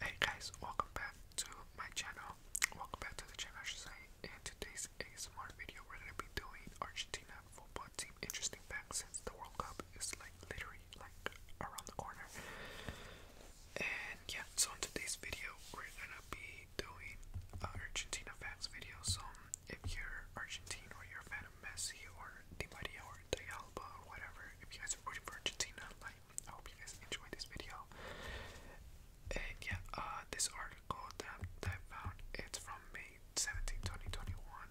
Hey guys, welcome back to my channel. Welcome back to the channel, I should say. In today's ASMR video, we're gonna be doing Argentina football team interesting facts since the World Cup is like literally like around the corner. And yeah, so in today's video, we're gonna be doing uh, Argentina facts video. So if you're Argentine or you're a fan of Messi or Di Maria or Dialba or whatever, if you guys are rooting for Argentina, like I hope you guys enjoyed this video. And yeah, uh, this article that, I found, it's from May 17,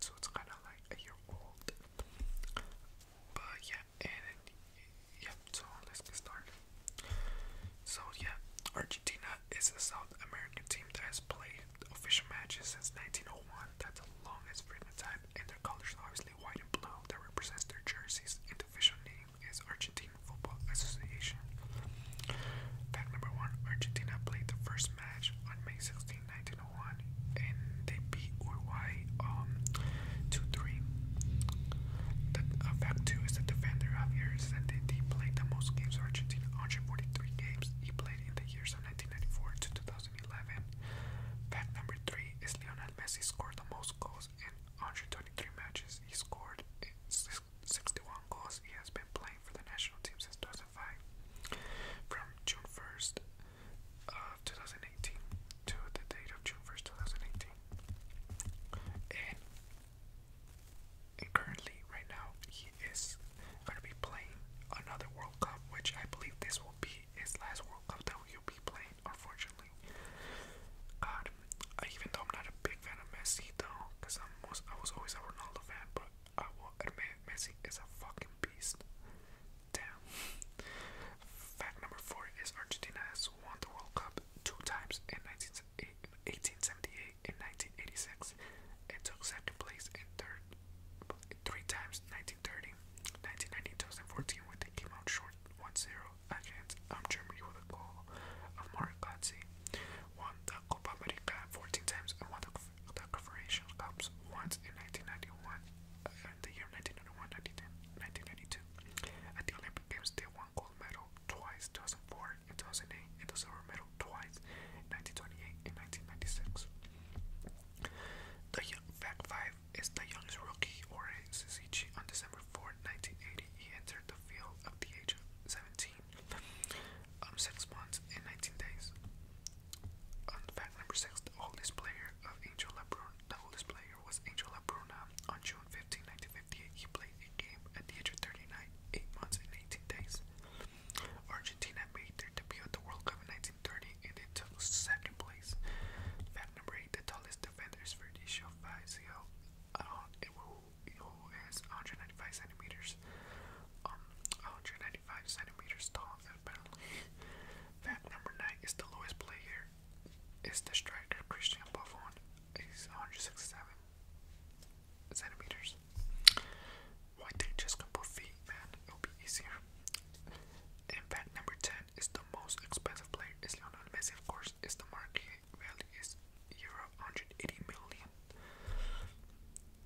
so it's kind of like a year old. But yeah, and yeah, so let's get started. So yeah, Argentina is a South American team that has played official matches since 1901. That's the longest freaking time, in their colors obviously white and blue, that represents their jerseys, and official name is Argentina Football Association. Fact number one Argentina played the first match on May 16, and they beat Uruguay um, 2 3. The, uh, fact two is the defender Javier Sandetti played the most games Argentina 143 games. He played in the years of 1994 to 2011. Fact number three is Leonardo. Lionel Messi scored the most goals in 123 matches. He scored 61 goals. He has been playing for the national team since 2005. From June 1st of 2018 to the date of June 1st, 2018. And, currently, right now, he is going to be playing another World Cup, which I believe this will be his last World Cup be playing, unfortunately. God, even though I'm not a big fan of Messi, though, because I was always a Ronaldo fan, but I will admit Messi is a fucking beast. Damn. Fact number four is Argentina has won the World Cup two times in 1878 and 1986. It took second place in third three times 1930, 1990-2014 when they came out short 1-0 against um, Germany with a goal of Mark Gotze. Won the Copa America 14 times and won the, the Confederation Cups once in 1991, uh, in the year 1991-1992. At the Olympic Games they won gold medal twice, 2004 and 2008, and the silver medal twice, in 1928 and 1996. The young, Fact 5 is the youngest rookie or Ori Suzuki on December 4, 1980. He entered the field at the age of 17, um, 6 months and 19 days. On um, fact number 6, the oldest player of Angel LaBruna, the oldest player was Angel LaBruna. On June 15, 1958, he played a game at the age of 39, 8 months and 18 days. Argentina made their debut at the World Cup in 1930 and it took second place. Fact number eight, the tallest defender is Verdicio who uh, is 195 centimeters, um, 195 centimeters tall, apparently. Fact number nine is the lowest player is the striker Christian Buffon, he's 167 centimeters. Why don't you just compose man? It'll be easier. fact, number 10 is the most expensive player is Lionel Messi, of course, is the market value is euro 180 million.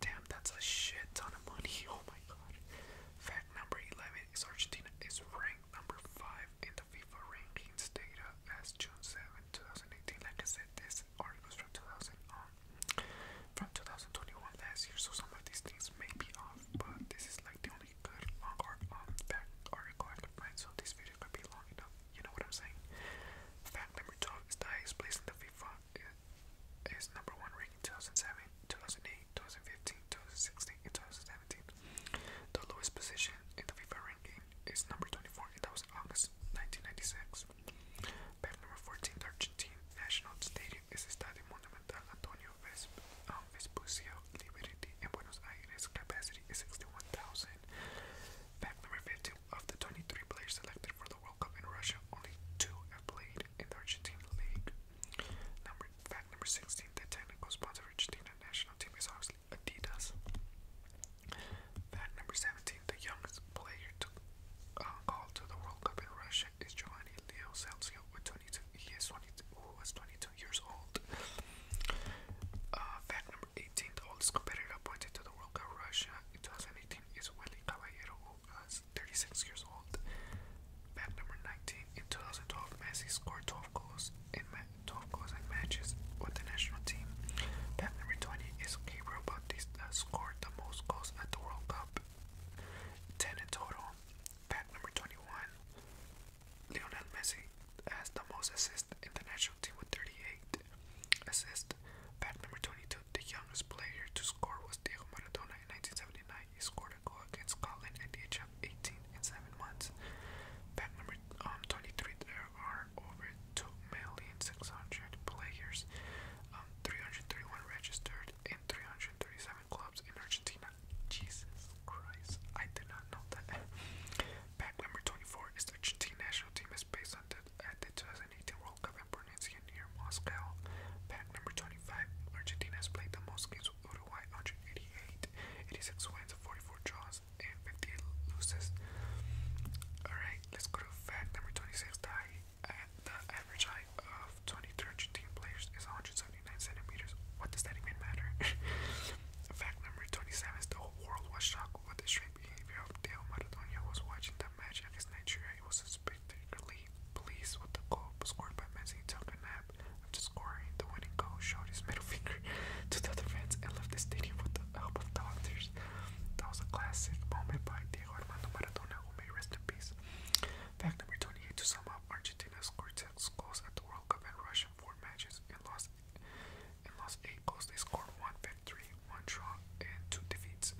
Damn, that's a shit ton of money. Oh my god. Fact number 11 is Argentina is ranked number 5 in the FIFA rankings data as June 7, 2018. Like I said, this article is from 2000 from 2021 last year, so some of these things may be off, but this is like the only good um, fact article I could find, so this video could be long enough. You know what I'm saying? Fact number 12 is the highest place in the FIFA is number one ranking 2007, 2008, 2015, and 2017. The lowest position in the FIFA ranking is number 24, and August 1996. Fact number 14. The Argentine National Stadium is Estadio Monumental Antonio Ves um, Vespucio Liberty in Buenos Aires. Capacity is 61,000. Fact number 15. Of the 23 players selected for the World Cup in Russia, only two have played in the Argentine League. Number, fact number 16. The technical sponsor of Argentina national team is obviously Adidas. Fact number 17. The youngest player to uh, to the World Cup in Russia is Giovanni Leo Salzio with 22. He is 22, who was 22 years old. Uh, fact number 18: oldest competitor appointed to the World Cup Russia in 2018 is Willy Caballero, who 36 years old. Fact number 19: in 2012, Messi scored 12 goals in 12 goals in matches with the national team. Fact number 20 is Gabriel Bautista scored the most goals at the World Cup, 10 in total. Fact number 21 Lionel Messi has the most assists in the national team with 38 assists. Fact number 22 The youngest player to score was Diego Maradona in 1979. He scored a goal against Scotland at the age of 18 and 7 months. Fact number um, 23 There are over 2,600,000 players, um, 331 registered, and 337 clubs in Argentina. Jesus Christ, I did not know that. Pack number 24 is the Argentine national team is based on the, at the 2018 World Cup in Brunei near Moscow. Pack number 25, Argentina has played the most games with Uruguay, 188, wins, 44 draws, and fifteen losses. Alright let's go to fact number 26. The, uh, average height of 23 Argentine players is 179 centimeters. What does that even matter? fact number 27 is the whole world was shocked with the strange behavior of Deo Maradona was watching the match against Nigeria. He was spectacularly pleased with the goal scored by Messi. took a nap after scoring the winning goal, showed his middle finger to the other fans, and left the stadium with the help of doctors. That was a classic moment by Diego Armando Maradona, who may rest in peace. Fact number 28 to sum up, Argentina scored 6 goals at the World Cup and Russia 4 matches and lost and lost 8 goals. They scored 1 victory, 1 draw, and 2 defeats.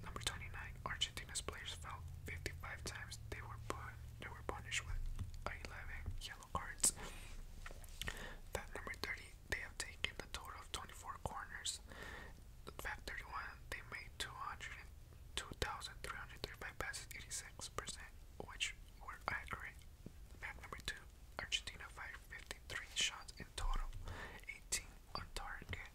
Number 29, Argentina's players fell 55 times. They were put, they were punished with 11 yellow cards. Fact number 30, they have taken the total of 24 corners. Fact 31, they made 202,335 passes, 86%, which were accurate. Fact number 2, Argentina fired 53 shots in total, 18 on target.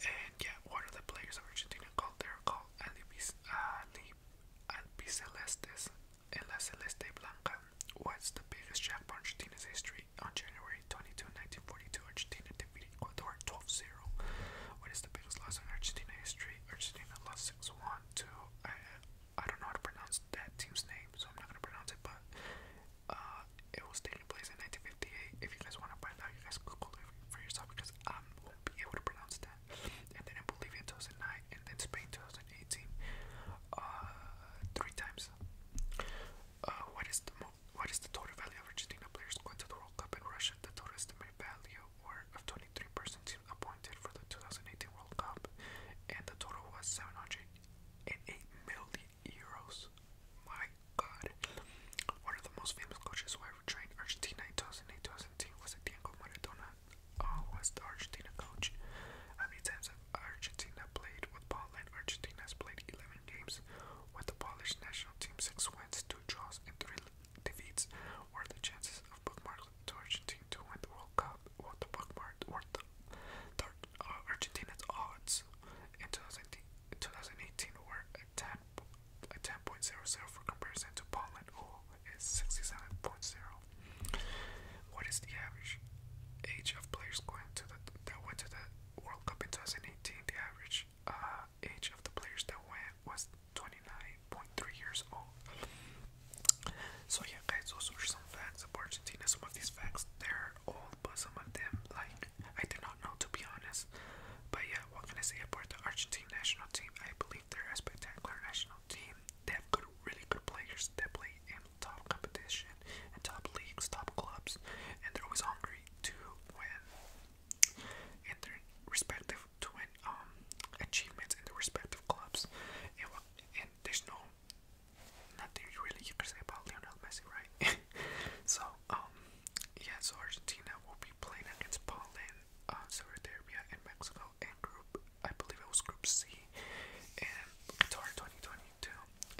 And yeah, one of the players of Argentina called? They're called Albicelestes. En la Celeste Blanca was the biggest jackpot Argentina's history. On January 22, Argentina defeated Ecuador 12-0. is the biggest loss in Argentina's history? Argentina lost 6-1 to, I, don't know how to pronounce that team's name, so I'm not going to pronounce it, but uh, it was taking place in 1958. If you guys want to find out, you guys Google it for yourself because I won't be able to pronounce that. And then in Bolivia in and in Spain 2018 uh, three times. Uh, what is the what is the total value of Argentina players going to the World Cup in Russia? The total estimated value of 23 person teams appointed for the 2018 World Cup, and the total was 708 million euros. My God! One of the most famous coaches who ever trained Argentina in 2008-2017 was Diego Maradona uh, the Argentina coach. How many times have Argentina played with Poland? Argentina has played 11 games with the Polish national team, 6 wins, 2 draws, and 3 defeats. Were the chances of bookmark Argentina to win the World Cup? What the bookmark? What the, the uh, Argentina's odds in 2018, were at 10.00 10 for comparison to Poland, is 67.0. What is the average age of players going to the that went to the World Cup in 2018? The average uh, age of the players that went was 29.3 years old. So yeah, guys, Also, some facts about Argentina. Some of these facts they're old, but some of them like I did not know to be honest. But yeah, what can I say about the Argentina national team? I believe they're a spectacular national team. They have good, really good players that play in top competition and top leagues, top clubs, and they're always hungry to win in their respective to win um, achievements in their respective clubs. And, there's no nothing really you say about Lionel Messi, right? so um, yeah, so Argentina will be playing against Poland, uh, Saudi Arabia, Mexico in group, I believe it was group C, and Qatar 2022.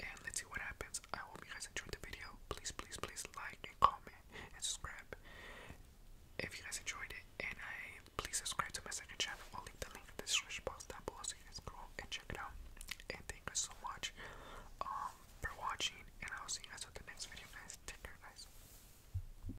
And let's see what happens. I hope you guys enjoyed the video. Please, please, please like and comment and subscribe if you guys enjoyed it. And I please subscribe to my second channel. I'll leave the link in the description box down below so you guys go check it out. And thank you so much um, for watching. And I'll see you guys with the next video, guys. Take care, guys.